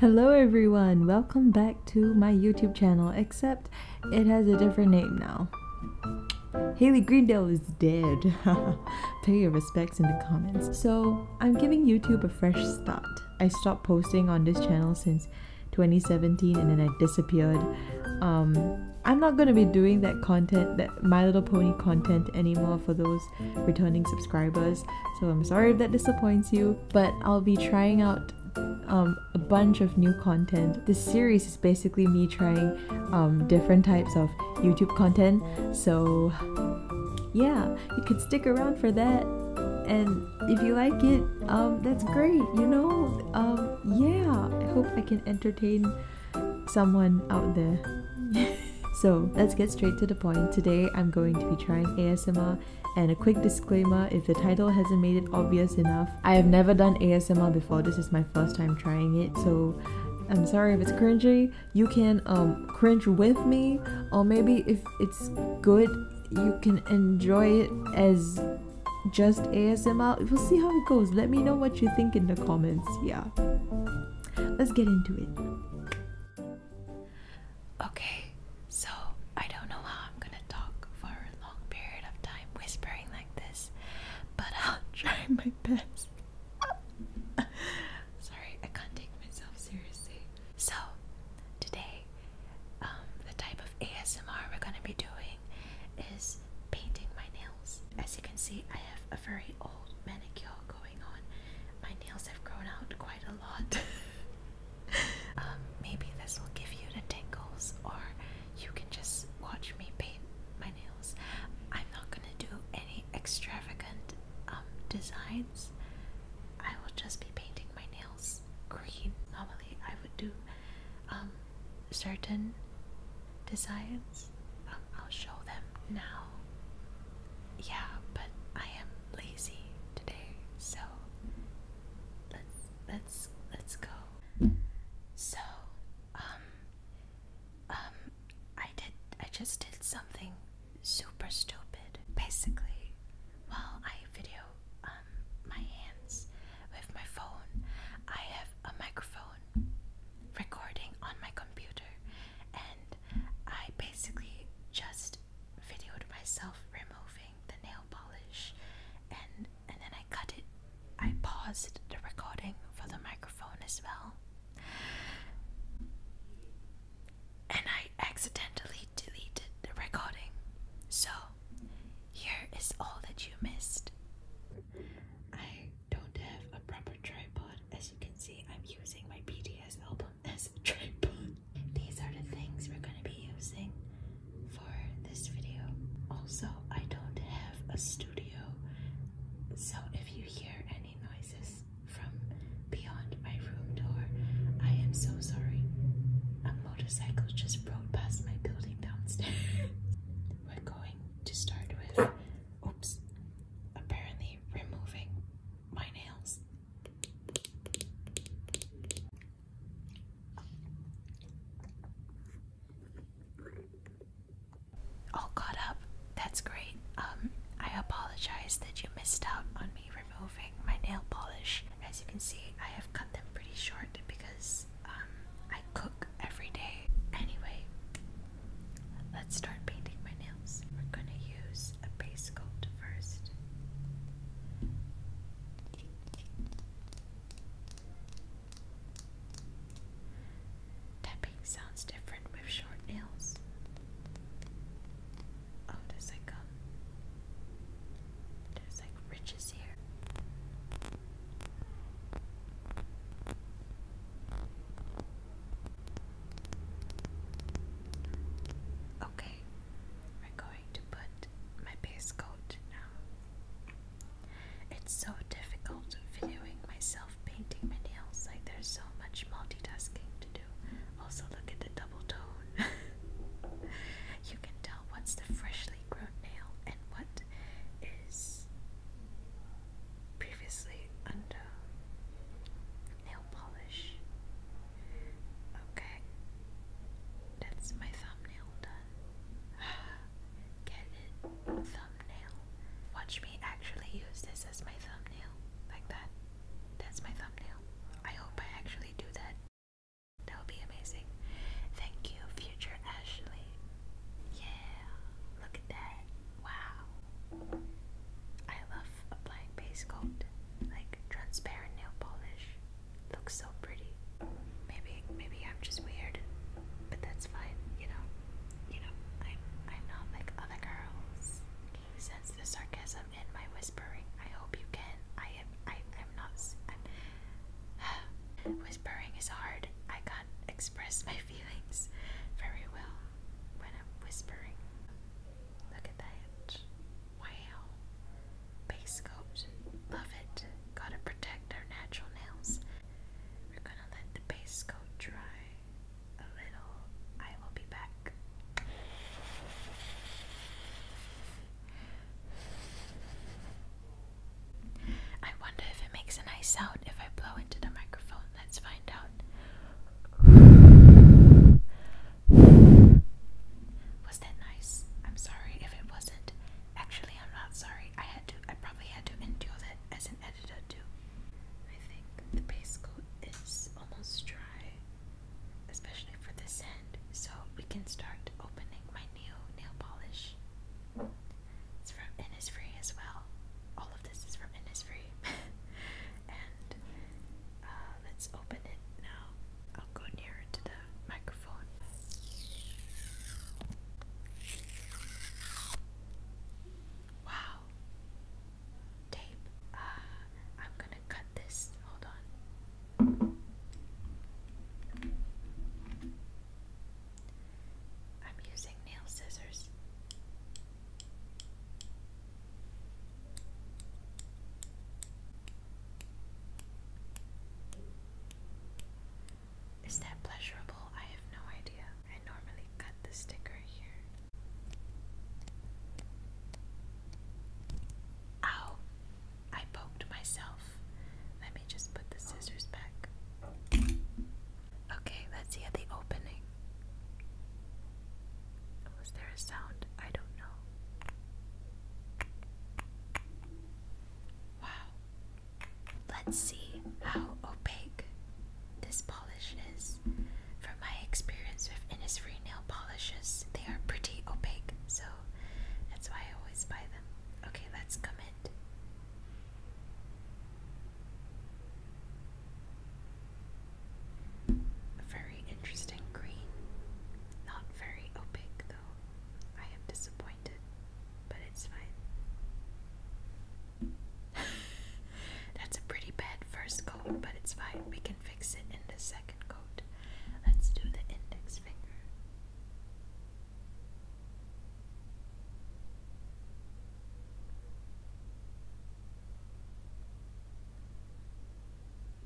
Hello everyone, welcome back to my YouTube channel, except it has a different name now. Haley Greendale is dead. Pay your respects in the comments. So, I'm giving YouTube a fresh start. I stopped posting on this channel since 2017 and then I disappeared. Um, I'm not going to be doing that content, that My Little Pony content anymore for those returning subscribers. So I'm sorry if that disappoints you, but I'll be trying out um, a bunch of new content. This series is basically me trying um, different types of YouTube content. So yeah, you could stick around for that. And if you like it, um, that's great, you know? Um, yeah, I hope I can entertain someone out there. so let's get straight to the point. Today I'm going to be trying ASMR and a quick disclaimer if the title hasn't made it obvious enough, I have never done ASMR before. This is my first time trying it, so I'm sorry if it's cringy, you can um, cringe with me, or maybe if it's good, you can enjoy it as just ASMR. We'll see how it goes. Let me know what you think in the comments. Yeah. Let's get into it. Okay, so I don't know how I'm gonna talk for a long period of time whispering like this, but I'll try my best. Sorry, I can't take myself seriously. So, today, um, the type of ASMR we're going to be doing is painting my nails. As you can see, I have a very old manicure going on. My nails have grown out quite a lot. Um, maybe this will give you the tingles, or you can just watch me paint my nails. I'm not going to do any extravagant um, designs, I will just be painting my nails green. Normally, I would do um, certain designs. Um, I'll show them now. Yeah, but I am lazy today, so let's let's let's go. So, um, um, I did I just did something super stupid. Basically, while I video um, my hands with my phone, I have a microphone recording on my computer, and I basically just videoed myself removing the nail polish, and and then I cut it. I paused the recording for the microphone as well and I accidentally deleted the recording. So, here is all that you missed. I don't have a proper tripod. As you can see, I'm using my BTS album as a tripod. These are the things we're gonna be using for this video. Also, I don't have a studio, so if you hear any noises, from beyond my room door. I am so sorry. A motorcycle just rode past my building downstairs. We're going to start with, oops, apparently removing my nails. All caught up. That's great. Um, I apologize that you missed out on me Moving my nail polish. As you can see, I have cut them pretty short because um, I cook every day. Anyway, let's start painting my nails. We're gonna use a base coat first. Tapping sounds different with short nails. Oh, there's like um, there's like riches here. Okay, we're going to put my base coat now. It's so difficult videoing myself painting my nails, like there's so much multitasking to do. Also, look at the you can tell what's the freshly grown nail and what is previously under nail polish. Okay, that's my thumbnail done. Get it? Thumbnail. Watch me actually use this as my thumbnail, like that. That's my thumbnail. I hope I actually do that. That would be amazing. Thank you, future Ashley. Yeah, look at that. Wow. I love applying base coat. Like transparent nail polish. Looks so pretty. Maybe maybe I'm just weird, but that's fine, you know. You know, I'm I'm not like other girls. Can you the sarcasm? them my whispering. I hope you can. I am. I. I'm not. whispering is hard. I can't express my feelings very well when I'm whispering. Look at that. Wow. Base coat. Love it. Gotta protect our natural nails. We're gonna let the base coat dry a little. I will be back I wonder if it makes a nice sound if I blow into the microphone. Let's find out. Was that nice? I'm sorry if it wasn't. Actually, I'm not sorry. I had to. I probably had to endure that as an editor too. I think the base coat is almost dry especially for this end, so we can start opening my new nail polish. It's from Innisfree as well. All of this is from Innisfree. and uh, let's open it now. I'll go nearer to the microphone. Wow, tape. Uh, I'm gonna cut this. Hold on. I'm using nail scissors. Is that pleasurable? I have no idea. I normally cut the sticker here. Ow! I poked myself. Let me just put the scissors back. Okay, let's hear the opening. Was there a sound? I don't know. Wow. Let's see how opaque this polish is. From my experience with Innisfree nail polishes, they are pretty opaque, so that's why I always buy them. Okay, let's comment. very interesting green. Not very opaque though. I am disappointed, but it's fine. That's a pretty bad first coat, but it's fine. We can fix it in the second coat. Let's do the index finger.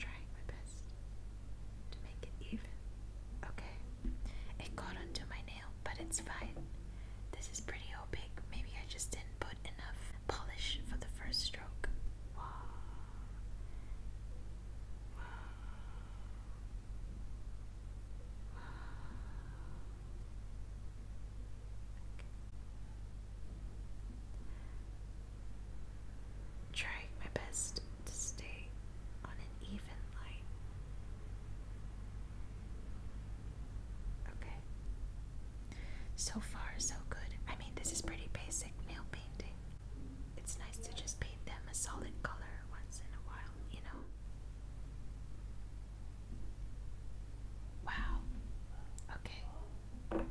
i my best to make it even. Okay. It got onto my nail, but it's fine. This is pretty opaque. Maybe I just didn't put enough polish for the first stroke. Wow. Trying my best to stay on an even line. Okay. So far, so good. I mean, this is pretty basic nail painting. It's nice to just paint them a solid color once in a while, you know? Wow. Okay.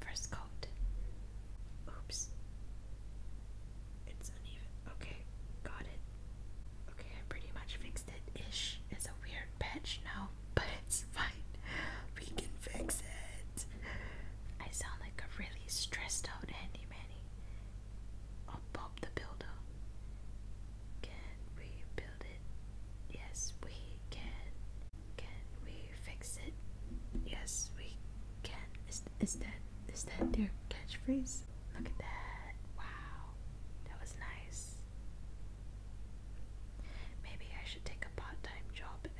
First coat. Oops. It's uneven. Okay, got it. Okay, I pretty much fixed it ish. It's a weird patch now but it's fine. We can fix it. I sound like a really stressed out handy I'll pop the builder. Can we it? Yes, we can. Can we fix it? Yes, we can. Is, is that is that their catchphrase? Look at that. Wow. That was nice. Maybe I should take a part time job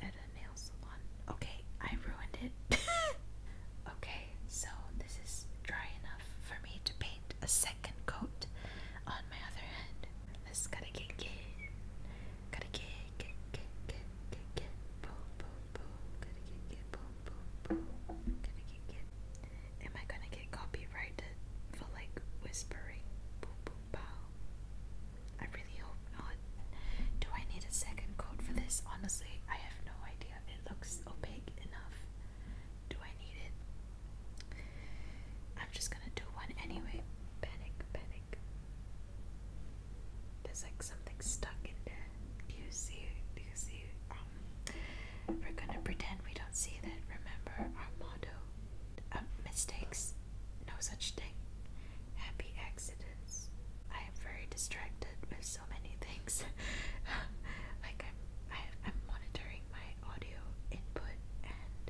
Okay, I ruined it. okay, so this is dry enough for me to paint a second coat on my other hand. Let's gotta get get gotta get get get get get boom boom boom gotta get get boom boom boom gotta get get Am I gonna get copyrighted for like whispering I really hope Do I need a second coat for this? Honestly, I have no idea. It looks opaque enough. Do I need it? I'm just gonna do one anyway. Panic, panic. There's like something stuck in there. Do you see it? Do you see it? Um, we're gonna pretend we don't see that. Remember our motto. of uh, mistakes no such thing. Happy accidents. I am very distracted with so many things. like I'm, I, am i am monitoring my audio input and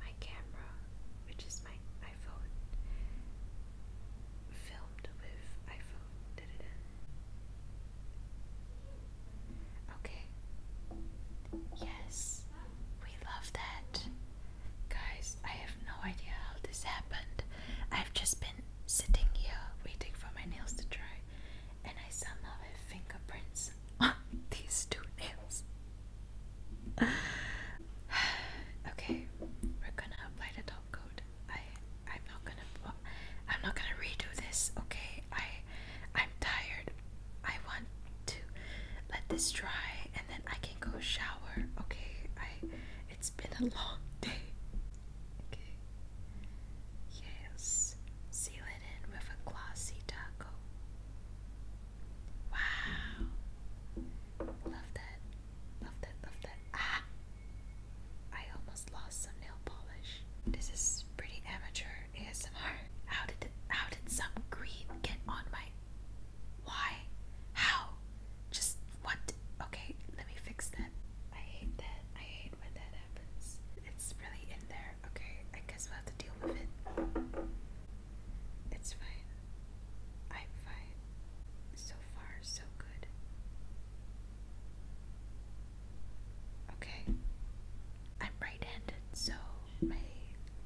my camera, which is my iPhone, filmed with iPhone. Okay. Yes, we love that. Guys, I have no idea how this happened. I've just been sitting here waiting for my nails to dry, and I saw my fingerprints on these two nails. okay, we're gonna apply the top coat. I I'm not gonna I'm not gonna redo this. Okay, I I'm tired, I want to let this dry and then I can go shower. Okay, I it's been a long day. Okay. Yes. Seal it in with a glossy taco. Wow. Love that. Love that. Love that. Ah. I almost lost some nail polish. This is pretty amateur ASMR. How did how did some green get on my why? How? Just what? Okay, let me fix that. I hate that. I hate when that happens. It's really in there. Okay, I guess we'll have to deal with it. It's fine. I'm fine. So far, so good. Okay. I'm right handed, so my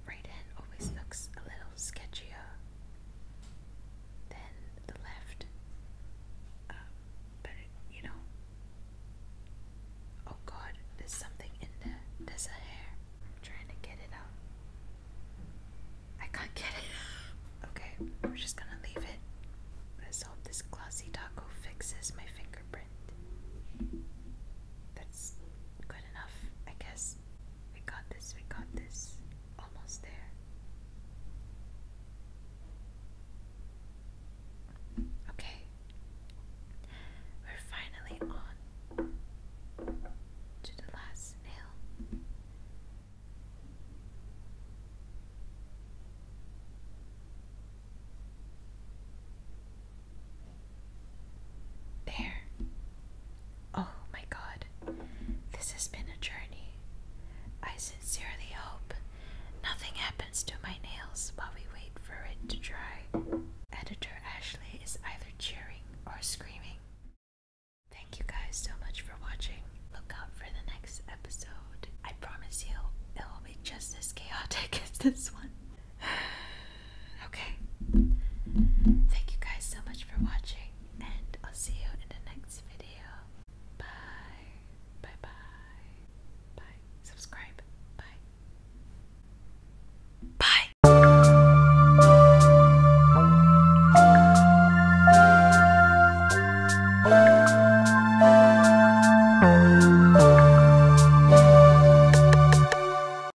right hand always looks a little sketchier than the left. Um, but you know, oh God, there's something in there. There's a hair. trying to get it out. I can't get it. okay, we're just gonna leave it. Let's hope this glossy taco fixes my fingerprint. That's good enough, I guess. We got this, we got this. Almost there. Okay. We're finally on to the last nail. There. Oh my god. This has been a journey. I sincerely hope nothing happens to my nails while we wait for it to dry. Editor Ashley is either cheering or screaming. Thank you guys so much for watching. Look out for the next episode. I promise you, it will be just as chaotic as this one. okay. Thank you guys so much for watching, and I'll see you in the next video. Bye. Bye bye. Bye. Subscribe. Bye. Bye.